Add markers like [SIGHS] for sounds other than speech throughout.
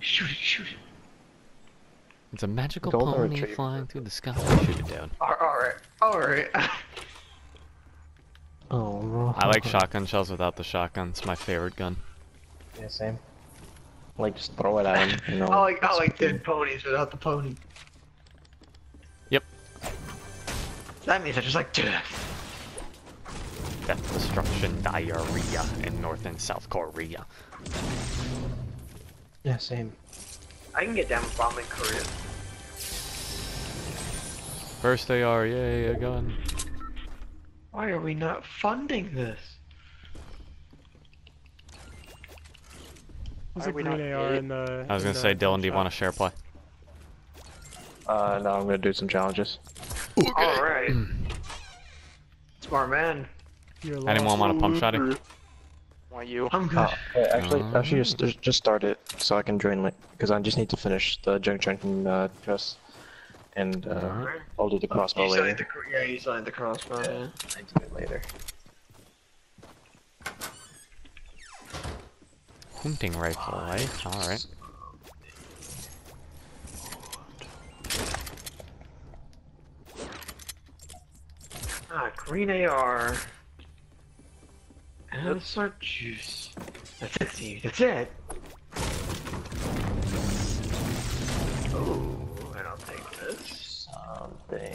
Shoot it, shoot it. It's a magical pony flying through the sky. Shoot it down. Alright, alright. [LAUGHS] oh, no. I like shotgun shells without the shotgun. It's my favorite gun. Yeah, same. Like, just throw it at him. You [LAUGHS] know, I like, I like dead ponies without the pony. Yep. That means I just like, do Death, destruction, diarrhea in North and South Korea. Yeah, same. I can get down with bombing Korea. First AR, yay, a gun. Why are we not funding this? There's a green AR in the... I was gonna say, Dylan, do you want to share play? Uh, no, I'm gonna do some challenges. Alright. [CLEARS THROAT] Smart man. I didn't want to on a pump shot. Mm-hmm. Want you? I'm oh, good. Uh, actually, actually, just, just start it so I can drain it because I just need to finish the junk junction uh, And uh, I'll do the crossbow later. yeah, you on the crossbow. Yeah, I do it later. Hunting rifle, right? Alright. Ah, green AR. And let's start juice. That's it, Steve. That's it! Oh, and I'll take this. Something.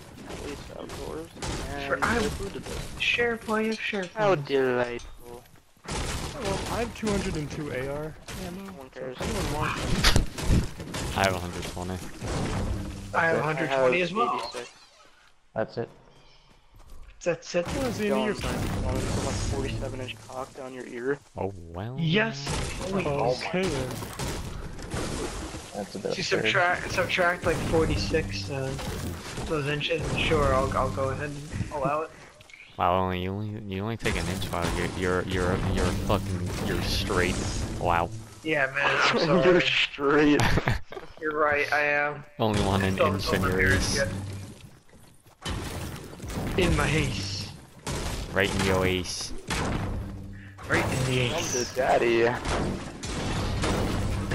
At least outdoors. And I booted it. Sheriff, why you sheriff? How delightful. Well, I have 202 AR. Yeah, no one cares. I have 120. I have 120 as well. That's it. That's it. Well, Zini, you're fine. Wanted to put like 47 inch cock down your ear. Oh well. Yes. Holy okay. okay. That's a bit. If subtract subtract like 46 uh, those inches, sure, I'll I'll go ahead and allow it. Wow, only you only you only take an inch out of your your your your fucking you're straight. Wow. Yeah, man. [LAUGHS] you're straight. [LAUGHS] you're right. I am. Only one inch in your ace. In my ace. Right in your ace. Right in the ace. daddy. And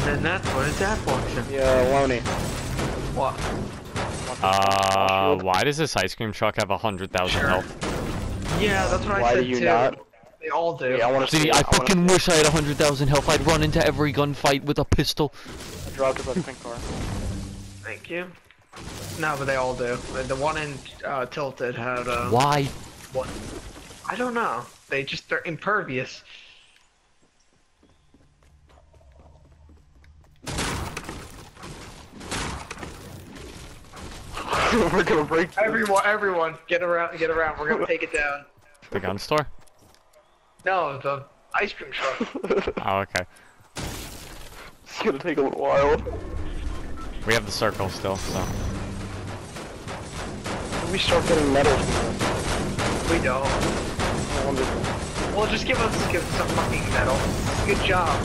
then that's what a tap function. Yeah, will What? Uh, why does this ice cream truck have a hundred thousand health? Yeah, that's what I said do you too. Not? They all do. I See, I, fucking wish I had a hundred thousand health. I'd run into every gunfight with a pistol. I dropped a pink car. Thank you. No, but they all do. The one in uh, Tilted had. Uh, why? What? I don't know. They just they are impervious. [LAUGHS] We're gonna break. Everyone, everyone, get around, get around. We're gonna take it down. The gun store? No, the ice cream truck. [LAUGHS] oh, okay. It's gonna take a little while. We have the circle still, so. We start getting medals. We don't. Well, just give us give us a fucking medal. Good job.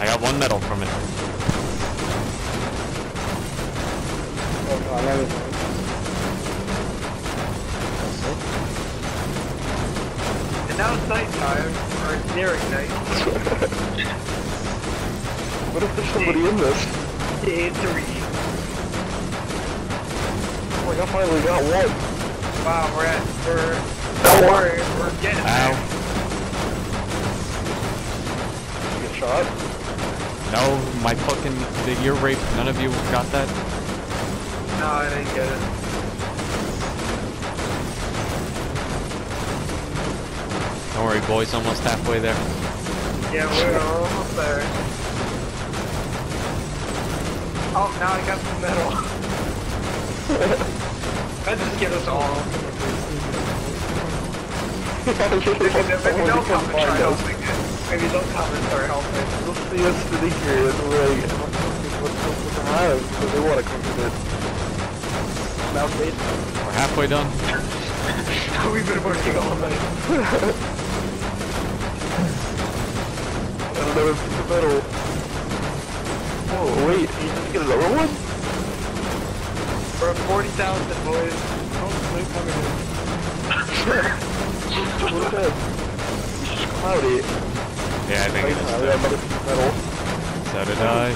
I got one medal from it. And now it's nighttime, or it's nearing night. what if there's somebody in this? Day three. Oh, I finally got one. Wow, we're at, we're, don't worry, we're getting Ow. Get shot? No, my fucking the ear rape. None of you got that. No, I didn't get it. Don't worry, boys. Almost halfway there. Yeah, we're almost there. Oh, now I got the medal. I [LAUGHS] just get us all. Maybe don't come and try helping it. Maybe don't come and try helping it. Let's see what's really curious. Like, what's up with the hive? Because they want to come to this. Mount We're halfway done. [LAUGHS] We've been working all night. I don't the middle. Oh, wait. You just get another one? We're at 40,000, boys. Oh, Look at this. Cloudy. Yeah, I think it is. Metal. So did I.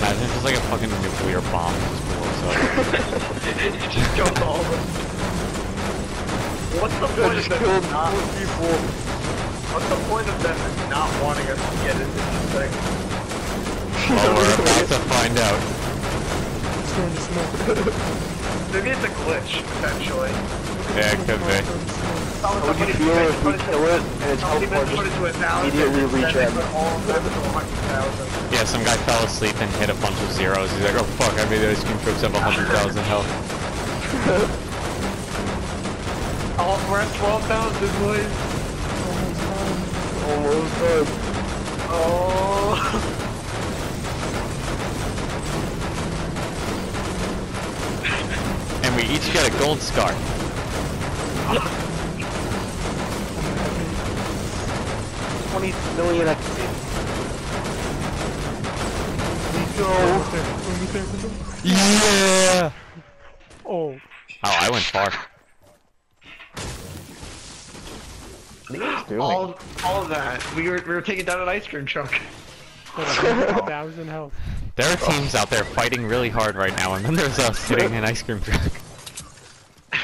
Imagine it's like a fucking nuclear bomb just blows up. [LAUGHS] it just goes all the... What's the point of them not... the point of them not wanting us to get into this thing? well, we're about to find out. Maybe it's a glitch, potentially. Yeah, it could be. How would you feel if we kill it and it's helpful just immediately regen? Yeah, some guy fell asleep and hit a bunch of zeros. He's like, oh fuck, I made those cream troops have 100,000 health. oh, [LAUGHS] we're at 12,000, boys. Almost done. Oh. and we each got a gold scar. Twenty million XP. Go. Yeah. Oh. Oh, I went far. [GASPS] All, all that. We were, we were taking down an ice cream truck. [LAUGHS] Thousand health. There are teams out there fighting really hard right now, and then there's us [LAUGHS] sitting in ice cream truck.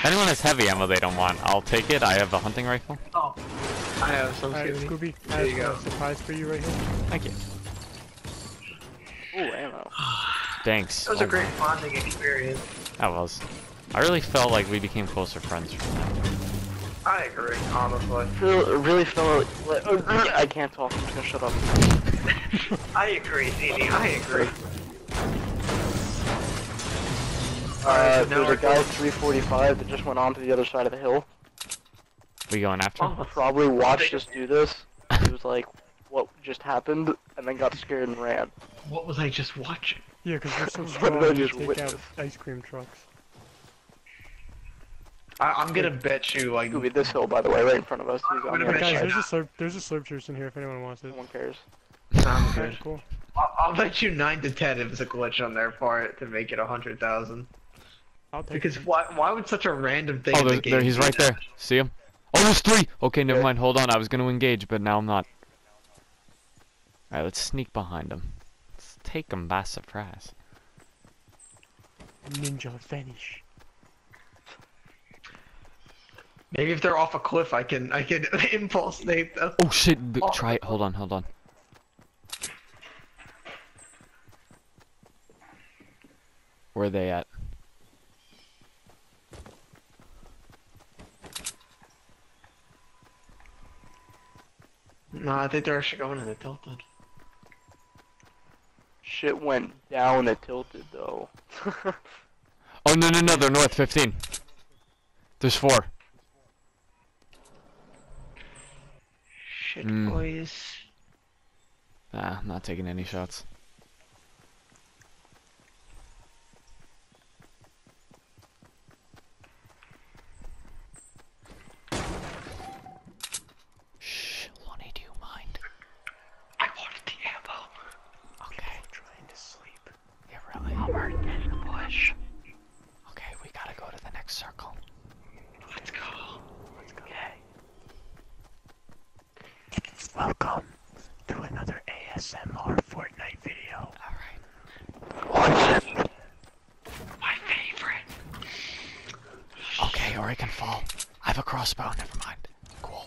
Anyone has heavy ammo they don't want, I'll take it. I have a hunting rifle. Oh, I have some. Right, Scooby, there I have you go. Surprise for you right here. Thank you. Ooh, ammo. Thanks. That was a oh, great bonding experience. That was. I really felt like we became closer friends I agree, honestly. Feel, really feel oh, I can't talk, I'm just gonna shut up. [LAUGHS] I agree, ZD, I agree. Uh, so there's a guy 345 that just went on the other side of the hill. We going after him? Probably watched us do this. He was like, what just happened and then got scared and ran. What was I just watching? Yeah, because we're so [LAUGHS] strong we take witness? out ice cream trucks. I am gonna bet you like Scooby, this hill by the way, right in front of us. He's on guys, there's a slurp there's a slurp juice in here if anyone wants it. No one cares. Sounds good. Okay, cool. I'll, I'll, bet you nine to ten it was a glitch on their part to make it a hundred thousand. Because it. why why would such a random thing? Oh, there, there he's right there. See him. Oh, there's three! Okay, never mind. Hold on. I was going to engage, but now I'm not. Alright, let's sneak behind them. Let's take them by surprise. Ninja vanish. Maybe if they're off a cliff, I can I can [LAUGHS] impulse snipe them. Oh shit! Oh. Try it. Hold on, hold on. Where are they at? No, I think they're actually going in the tilted. Shit went down the tilted though. [LAUGHS] oh no no no! They're north 15. There's four. Shit, hmm. boys. Nah, not taking any shots. Shh, Lonnie, do you mind? I wanted the ammo. Okay. trying to sleep. Yeah, really? I'm hurt in the bush. Okay, we gotta go to the next circle. Let's go. Okay. Welcome to another ASMR Fortnite video. Alright. My favorite. Okay, or I can fall. I have a crossbow, never mind. Cool.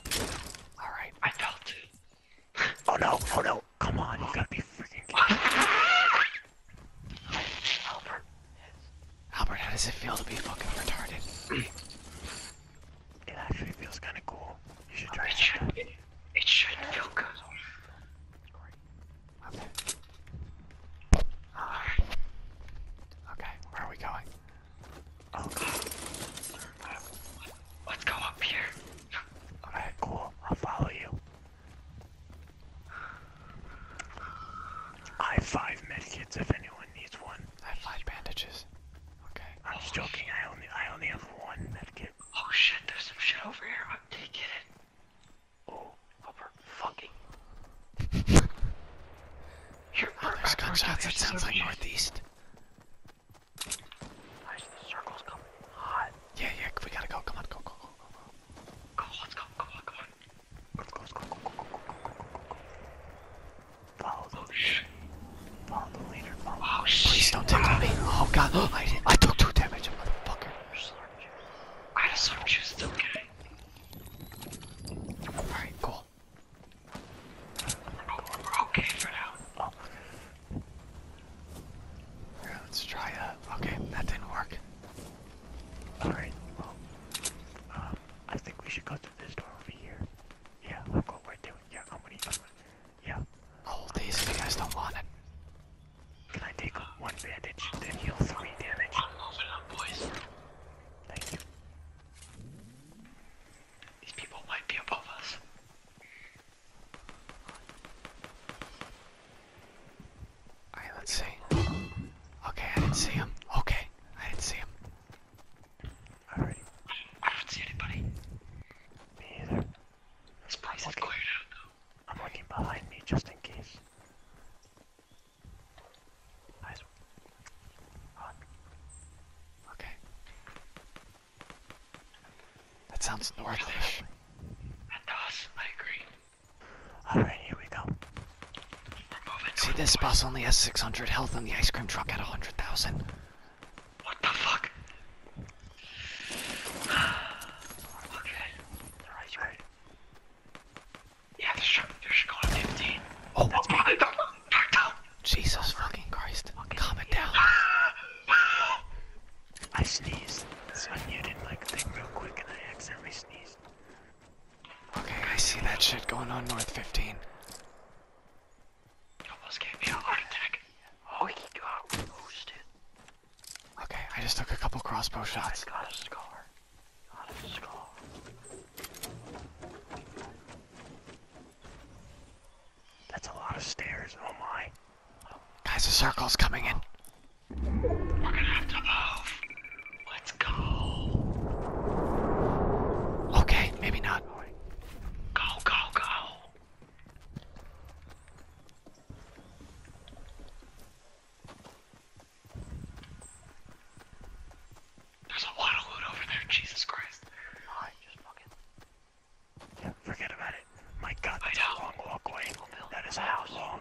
Alright. I felt it. Oh no, oh no. Come on, you gotta be freaking Albert. Albert, how does it feel to be fucking retarded? [CLEARS THROAT] It actually feels kind of cool. You should try it. it, should yeah. feel good. Okay. where are we going? Oh, Let's go up here. Okay, cool. I'll follow you. I have five medkits if anyone needs one. I have five bandages. I'm just joking. I only I only have one medkit. Oh shit! There's some shit over here. I'm taking it. Oh, upper oh, fucking. Oh, there's gunshots. That sounds like northeast. Yeah, yeah. We gotta go. Come on, go, go, go, go, go. Go, let's go. Come on, come on. let go, go, go, go, go, go, go, go, go. Follow the leader. Oh, Please don't take me. Oh god, I, did. I took two damage, motherfucker. I just sword juice, it's okay. Alright, cool. We're, okay for now. Oh. Here, let's try uh, Okay, that didn't work. Alright, well, um, I think we should go through this door over here. Yeah, look what we're doing. Yeah, I'm gonna Yeah. Hold these if you guys don't want it. Can I take one bandage, then heal three damage? I'm moving up, boys. Thank you. These people might be above us. Alright, let's see. Okay, I didn't see him. Okay, I didn't see him. Alrighty. I don't see anybody. Me either. This place is cleared out though. I'm looking behind me just in case. Nice one. On. Okay. That sounds northish. That does, I agree. Alright, here we go. See, this boss only has 600 health and the ice cream truck had 100,000. What the fuck? [SIGHS] okay. The right way. Yeah, there's shot. There's going 15. Oh, that's me. Back down. Jesus fucking Christ. Fucking Calm it down. [LAUGHS] I sneezed. So I muted my thing real quick and I accidentally sneezed. Okay, I see that shit going on north 15. Almost gave me a heart attack. Oh, he got roasted. Okay, I just took a couple crossbow shots. got a scar. Got a scar. That's a lot of stairs. Oh my. Guys, the circle's coming in. We're gonna have to move. Let's go. Okay, maybe not. Go, go, go! There's a lot of loot over there, Jesus Christ. Oh, just forget about it. My god, that's I a long walkway. That is how long.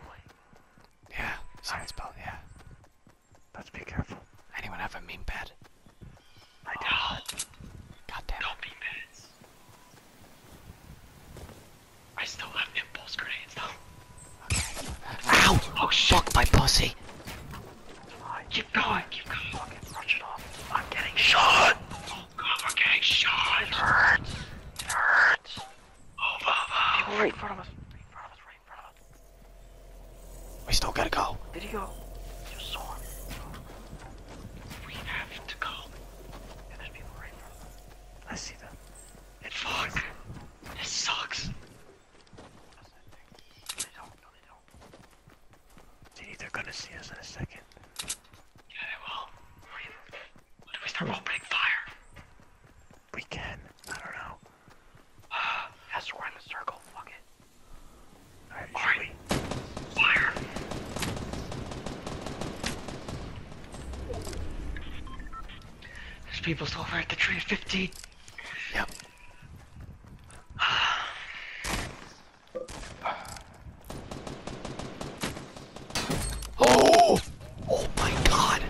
Yeah, sounds about, yeah. Let's be careful. Anyone have a meme pad? My God. God damn Don't be mad. I still have impulse grenades Ow! Oh shit. Fuck my posse. keep going, keep going. Fucking brush off. I'm getting shot! Oh god, i shot! It hurts! It hurts! Oh, Baba! right in front of us! Right in front of us, right in front of us. We still gotta go. Video! You saw we have to go. there's people right in I see them. It fuck. It sucks. They don't. gonna see us in a second. Yeah, they will. What do we start opening fire? We can. I don't know. Uh, [SIGHS] we're in the circle. Fuck it. Alright, Fire! There's people over at the tree at 15. Yep. oh! Oh my god!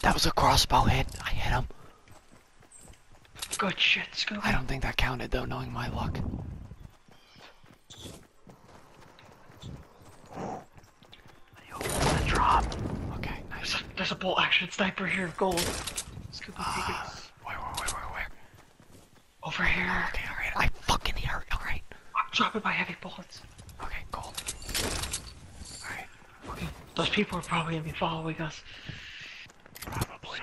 That was a crossbow hit. I hit him. Good shit, Scooby. I don't think that counted though, knowing my luck. I drop. Okay, nice. There's a, bolt action sniper here, gold. Scooby, uh, where, where, where, where, Over here. Okay, alright. I fucking hear it, alright. I'm dropping my heavy bullets. Okay, cool. Alright. Okay. Those people are probably gonna be following us. Probably.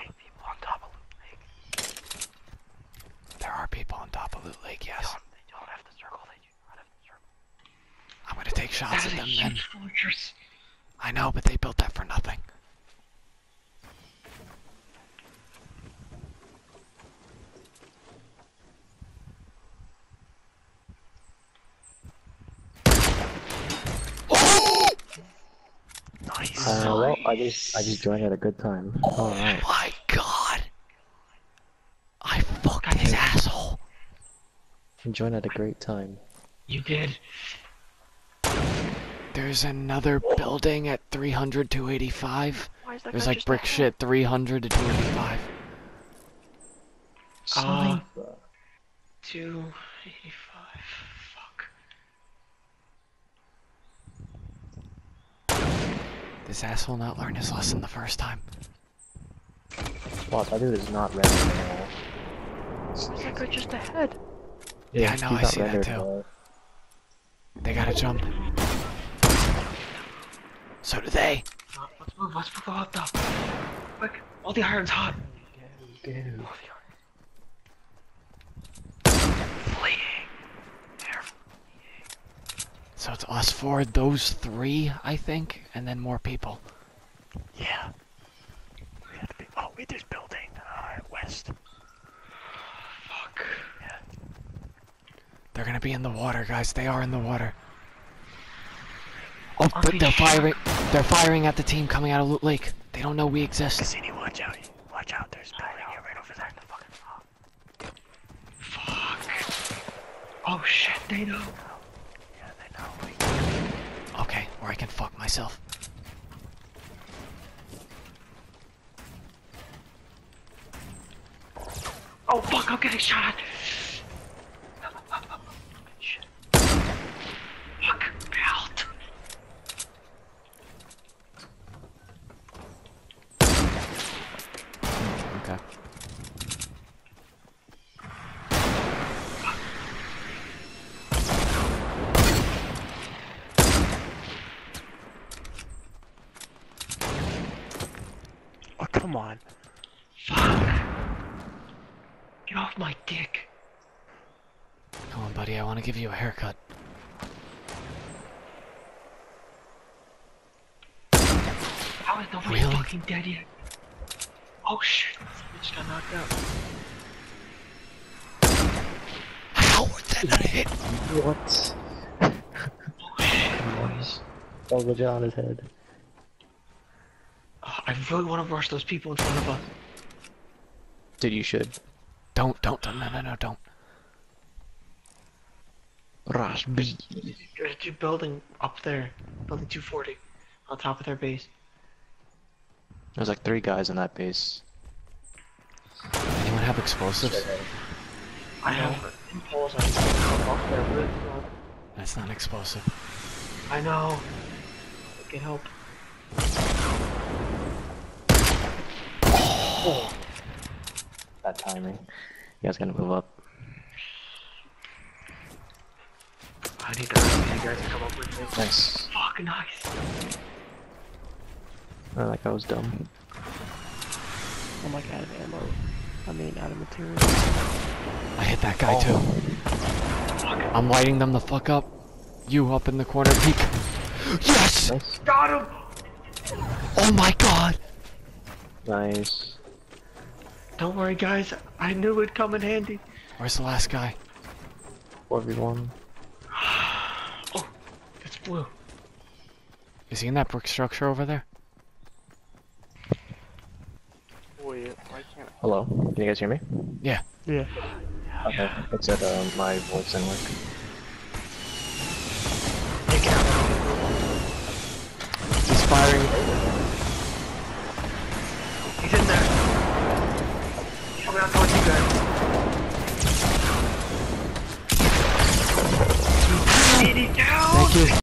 There are people on top of Loot Lake, yes. They don't, have to circle, they do not have to circle. I'm gonna take shots at them a huge then. Fortress. I know, but they built that for nothing. Oh! Nice. Uh, well, I just I just joined at a good time. Oh All right. my god! I fucked I his asshole. You joined at a great time. You did. There's another building at 300 to 285. There's like brick shit 300 to 285. Cypher. Uh, ah. two eighty-five. Fuck. This asshole not learn his lesson the first time. Wow, that is not ready at all. Looks just ahead. Yeah, I know, I see that too. They gotta jump. So do they let's move, let's move the hot the... Quick, all the iron's hot! Go, So it's us for those three, I think, and then more people. Yeah. We have to Oh, wait, there's building. Alright, west. Fuck. They're gonna be in the water, guys. They are in the water. Oh, but they're firing. They're firing at the team coming out of Loot Lake. They don't know we exist. Cassini, watch out. Watch out. There's a building right over there in the fucking fog. Fuck. Oh shit, they know. Yeah, they know. Okay, or I can fuck myself. Oh fuck, I'm getting shot. Fuck, out. Okay. Oh, come on. Fuck! Get off my dick! Come on, buddy, I want to give you a haircut. How is nobody really? fucking dead yet? Oh shit, bitch got knocked out. How would that not hit? What? oh shit, boys. Double John his head. I really want to rush those people in front of us. Dude, you should. Don't, don't, don't, no, no, no, don't. Rush B. There's a building up there. Building 240. On top of their base. There's like three guys in that base. Anyone have explosives? I have impulse. I that's not explosive. I know. Can help. Oh. That timing. You guys gotta move up. I need you guys to come up with this. Nice. Fucking nice. I like I was dumb. Oh my god ammo. I mean, out of material. I hit that guy too. I'm lighting them the fuck up. You up in the corner, peek. Yes! Nice. Got him! Oh my god! Nice. Don't worry, guys. I knew it'd come in handy. Where's the last guy? 4 we won. [SIGHS] oh, it's blue. Is he in that brick structure over there? Hello, can you guys hear me? Yeah. Yeah. Okay, yeah. Uh, except my voice did He's firing. He's in there. He's coming out towards you guys. He's down! Thank you.